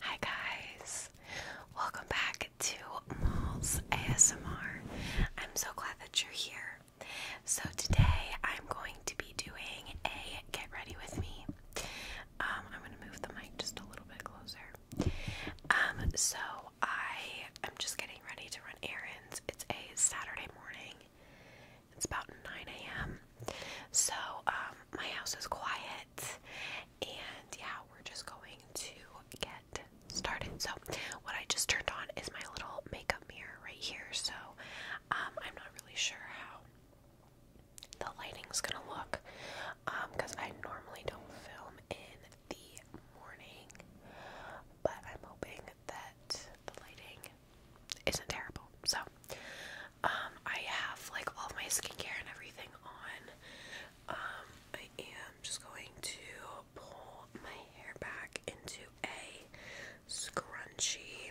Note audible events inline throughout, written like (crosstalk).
Hi guys, welcome back to Malls ASMR. I'm so glad that you're here. So today I'm going to be doing a get ready with me. Um, I'm going to move the mic just a little bit closer. Um, so I am just getting ready to run errands. It's a Saturday morning. It's about 9 a.m. So um, my house is quiet and yeah, we're just going to get started. So, what I just turned on is my little makeup mirror right here. So, um, I'm not really sure how the lighting's gonna look because um, I normally don't film in the morning, but I'm hoping that the lighting isn't terrible. So, um, I have like all my skincare and everything on. Um, I am just going to pull my hair back into a scrunchie.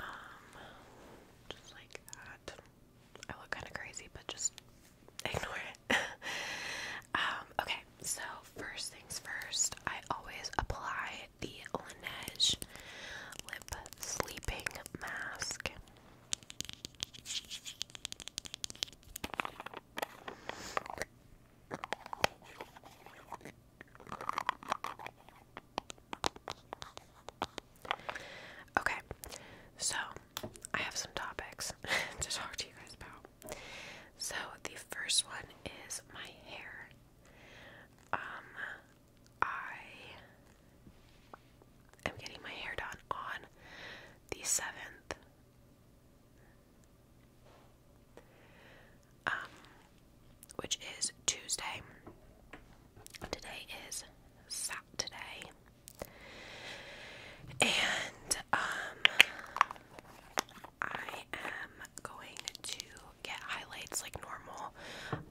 Um, just like that. I look kind of crazy, but just (laughs) ignore it. (laughs) um, okay, so first things first, I always apply the Laneige Lip Sleeping Mask. Okay, so I have some topics (laughs) to talk to you guys about. So the first one is my hair. Um, I am getting my hair done on the 7th. Um, which is Tuesday. Today is Saturday. And, um, I am going to get highlights like normal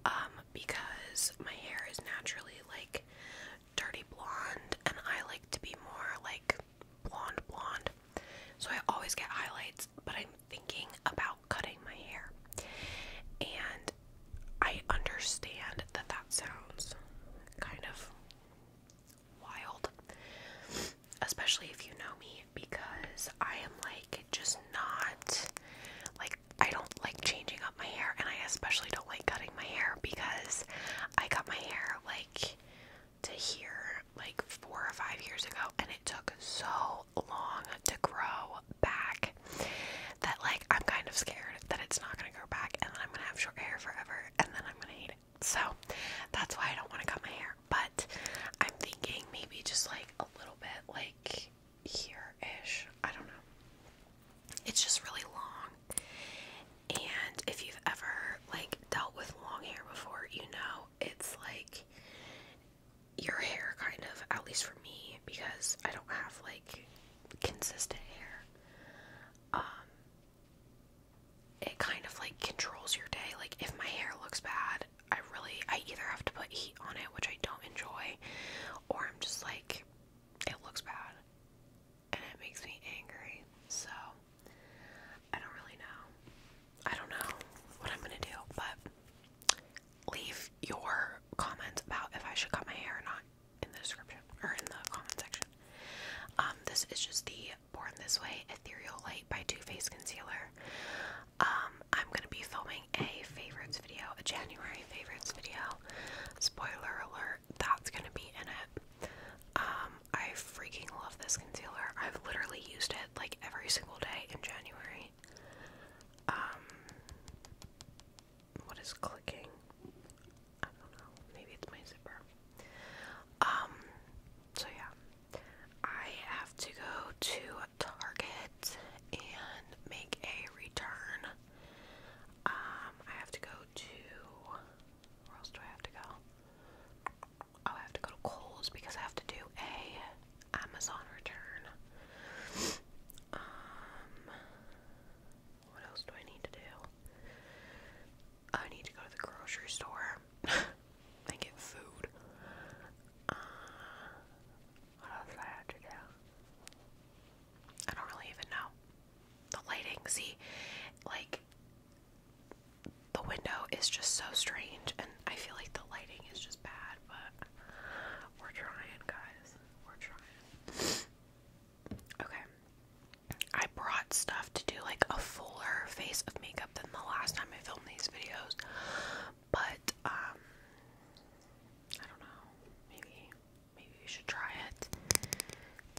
um, because my hair is naturally like dirty blonde and I like to be more like blonde blonde. So I always get highlights, but I'm thinking about cutting my hair. And I understand that that sounds kind of wild, especially if you know me because I am like just not like I don't like changing up my hair and I especially don't like cutting my hair because I cut my hair like to here like four or five years ago and it took so long to grow back that like I'm kind of scared that it's not gonna grow back and then I'm gonna have short hair forever and then I'm gonna hate it. So that's why I don't want to cut my hair. But I'm thinking maybe just like a little bit like here ish. I don't know. It's just really long. And if you've ever like dealt with long hair before, you know it's like your hair kind of, at least for me, because I don't have like consistent hair. Um it kind of like controls your day. Like if my hair looks bad, I really I either have to put heat on it, which I don't enjoy, or I'm just like it looks bad and it makes me angry. So I don't really know. I don't know what I'm gonna do, but leave your comments about if I should cut my hair or not in the description or in the comment section. Um, this is just the Born This Way Ethereal Light by Too Faced Concealer. Um, I'm gonna be filming a favorites video, a January favorites video. Spoiler alert, that's gonna be in it. Um, I freaking love this concealer. I've literally used it like every single day in January. Um, what is clicking? I don't know. Maybe it's my zipper. Um, so yeah. I have to go to Target and make a return. Um, I have to go to where else do I have to go? Oh, I have to go to Kohl's because I have to do a Amazon return. Um, what else do I need to do? I need to go to the grocery store and (laughs) get food. Uh, what else I have to do? I don't really even know. The lighting, see, like the window is just so strange, and I feel like the lighting is just bad, but we're trying, guys. We're trying. Okay. I brought stuff to do like a fuller face of makeup than the last time I filmed these videos, but um, I don't know. Maybe maybe you should try it.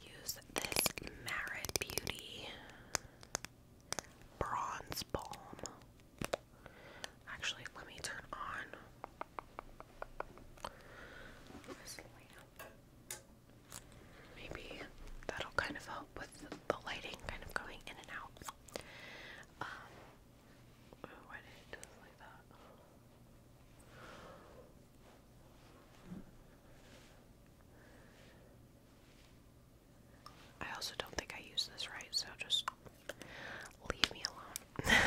Use this Marit Beauty bronze balm. Actually, let me turn on Maybe that'll kind of help with the lighting kind of going in and out. Um, I also don't think I use this right, so just leave me alone. (laughs)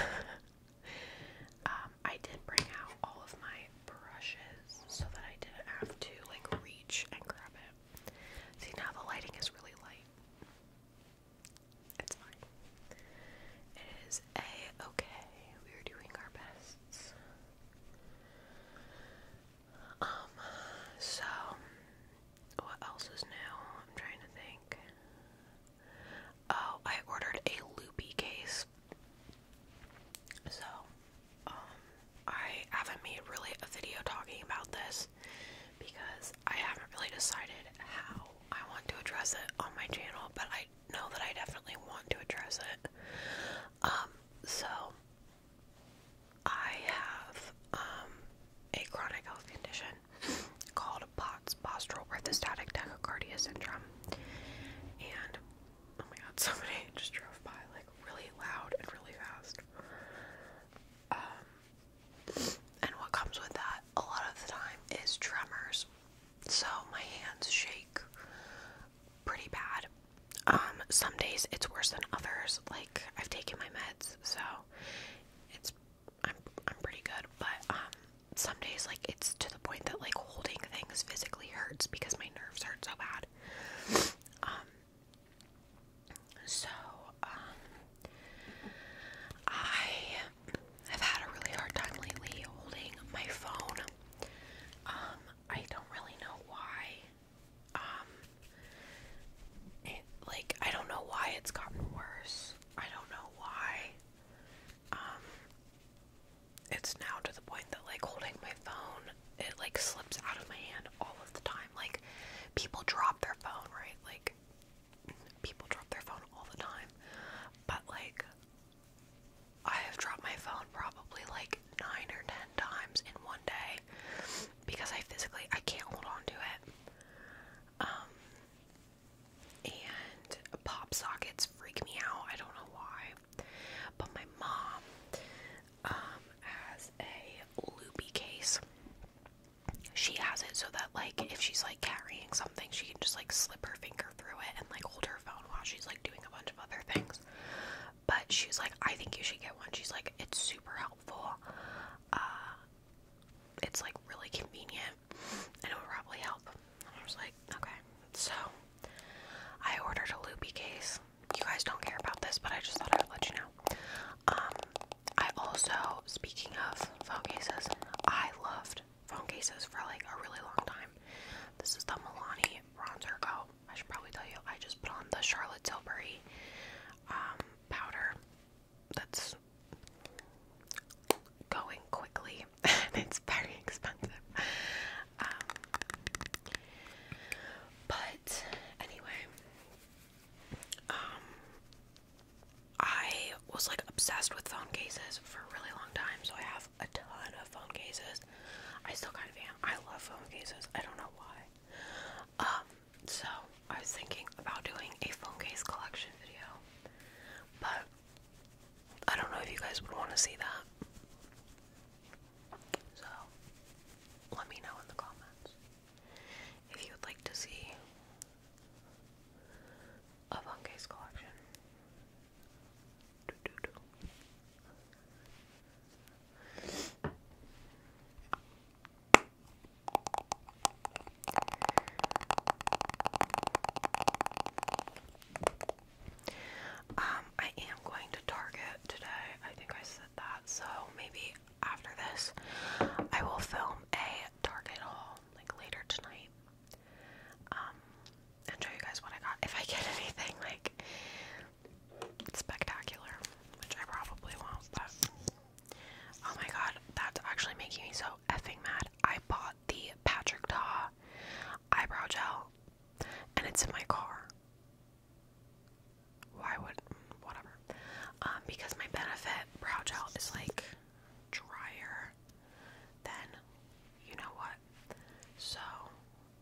Um, I did bring out all of my brushes so that I didn't have to like reach and grab it. See, now the lighting is really light. It's fine. It is a okay. We are doing our best. Um, so what else is new? I'm trying to think. Oh, I ordered a loopy case. So, um, I haven't made really a video talking about this because I haven't really decided how I want to address it on my channel, but I know that I definitely want to address it. Um, so I have um, a chronic health condition called POTS, postural orthostatic tachycardia syndrome. And oh my god, (laughs) somebody just drove by like really loud and really fast. Um and what comes with that a lot of the time is tremors. So my hands shake pretty bad. Um, some days it's worse than others. Like I've taken my meds, so it's I'm I'm pretty good. But um, some days like it's to the point that like holding things physically hurts because my nerves hurt so bad. Um, so, um, I have had a really hard time lately holding my phone. Um, I don't really know why. Um, like, I don't know why it's gotten worse. I don't know why. Um, it's now to the point that, like, holding my phone, it, like, slips out of my hand all of the time. Like, people drop their phone, right? Like, people drop their phone all the time, but like I have dropped my phone probably like nine or ten times in one day because I physically I can't hold on to it. Um and pop sockets freak me out. I don't know why. But my mom um, has a loopy case she has it so that like if she's like carrying something she can just like slip her finger through it and like hold her phone while she's like doing a bunch of other things but she's like i think you should get one she's like it's super helpful uh it's like really convenient and it would probably help and i was like okay so i ordered a loopy case you guys don't care about this but i just thought i would let you know um, I also, speaking of phone cases, I loved phone cases for like a really long time. This is the Milani bronzer. go. I should probably tell you, I just put on the Charlotte Tilbury um, powder that's going quickly (laughs) it's very expensive. Um, but anyway, um, I was like obsessed with phone cases for a really long time, so I have a ton of phone cases. I still kind of am. I love phone cases. I don't know why. Um, so I was thinking about doing a phone case collection video, but I don't know if you guys would want to see that. So let me know in the comments if you would like to see of Unke's collection. Um, I am going to Target today. I think I said that, so maybe after this, I will film a Target haul like later tonight. Um, and show you guys what I got. If I get (laughs) anything like spectacular, which I probably won't, but oh my god, that's actually making me so effing mad. I bought the Patrick Ta eyebrow gel and it's in my car. Why would whatever? Um, because my benefit brow gel is like drier, than you know what? So,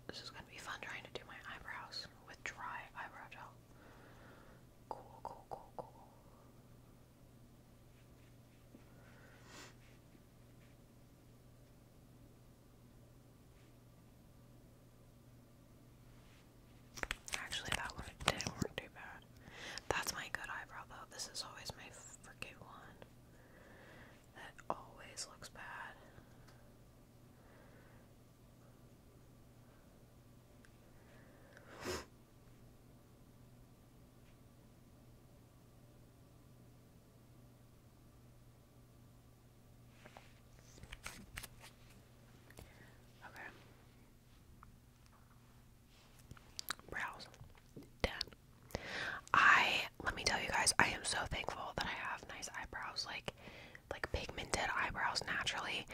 this is gonna be fun trying to do my eyebrows with dry eyebrow gel. Cool, cool, cool, cool. Actually, that one didn't work too bad. That's my good eyebrow, though. This is always my freaking one. That always looks bad. Okay. Brows. Done. I let me tell you guys, I am so thankful that I have nice eyebrows, like like pigmented eyebrows naturally.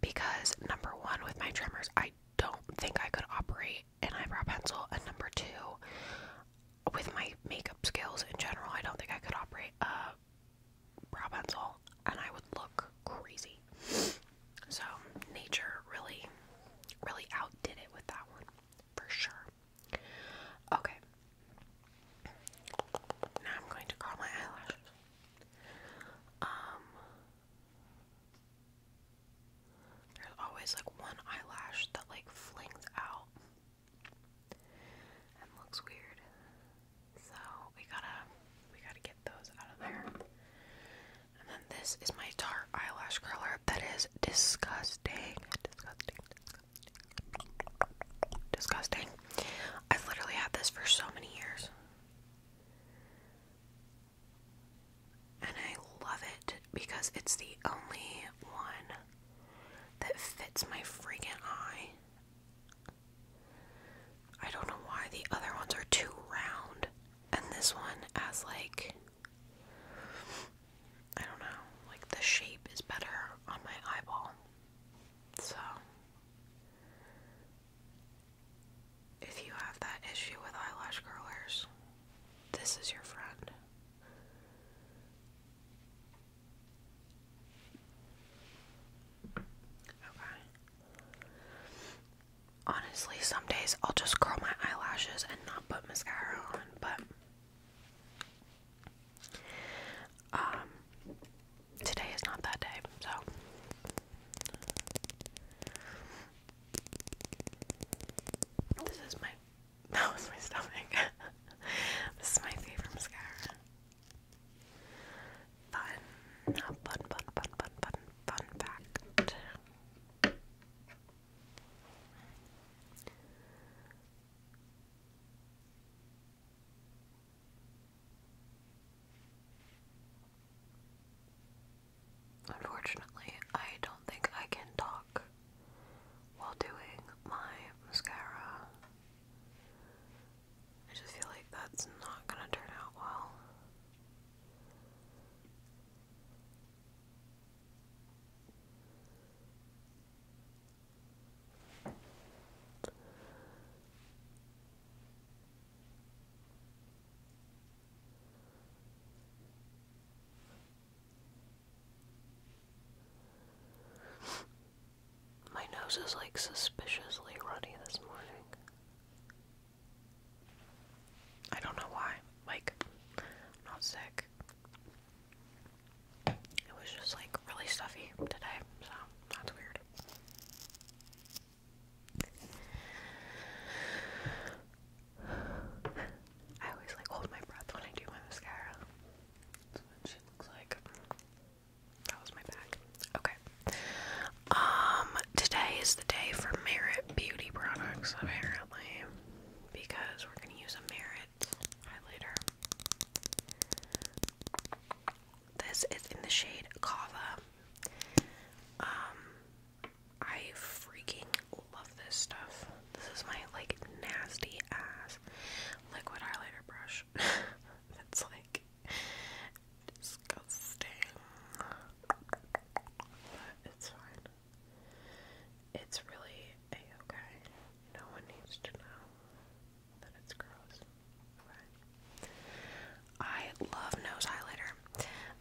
Because number one, with my tremors, I don't think I could operate an eyebrow pencil, and number two, with my makeup skills in general, I don't think I could operate a brow pencil and I would look crazy. So, nature really, really outdid it with that one for sure. Okay, now I'm going to curl my eyelashes. Um, there's always like one eyelash that like flings out and looks weird. So we gotta we gotta get those out of there. And then this is my tar eyelash curler. That is disgusting. Disgusting. Disgusting. I've literally had this for so many years. And I love it because it's the only one that fits my freaking eye. I don't know why the other ones are too round. And this one has like I don't know, like the shape is better on my eyeball. So if you have that issue with eyelash curlers, this is your friend. Okay honestly, some days I'll just curl my eyelashes and not put mascara on, but um, today is not that day, so. This is my, (laughs) that was my stomach. (laughs) this is my favorite mascara fun, a fun, fun, fun, fun, fun, fact. Unfortunately, I don't think I can talk while doing my mascara. I just feel like that's not gonna turn out well. My nose is like suspiciously runny this morning. I don't know why. Like, I'm not sick. It was just like really stuffy today, so that's weird. I always like hold my breath when I do my mascara. That's what looks like. That was my bag. Okay. Um, today is the day for Merit beauty products, apparently, because we're gonna use a Merit highlighter. This is in the shade Kava. Um, I freaking love this stuff. This is my like nasty ass liquid highlighter brush. That's (laughs) like disgusting. But it's fine. It's really okay. No one needs to know that it's gross. I love nose highlighter.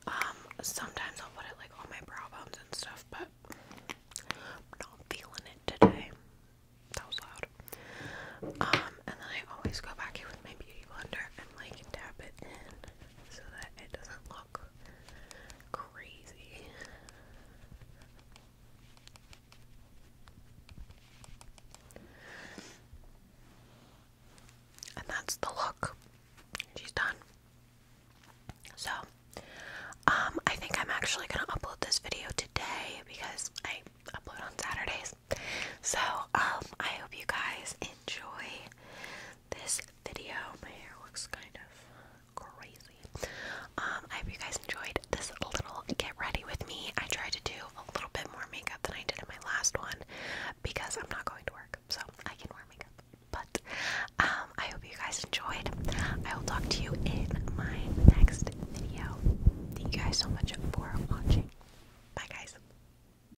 Um, sometimes I'll put it like on my brow bones and stuff, but I'm not feeling it today. That was loud. Um, and then I always go back here with my beauty blender and like tap it in so that it doesn't look crazy. And that's the look. She's done. So, um, I think I'm actually gonna upload this video today because I upload on Saturdays. So, um, I hope you guys enjoy this video. My hair looks kind of crazy. Um, I hope you guys enjoyed this little get ready with me. I tried to do a little bit more makeup than I did in my last one because I'm not going to work, so I can wear makeup. But um, I hope you guys enjoyed. I will talk to you in my next video. Thank you guys so much for watching. Bye, guys.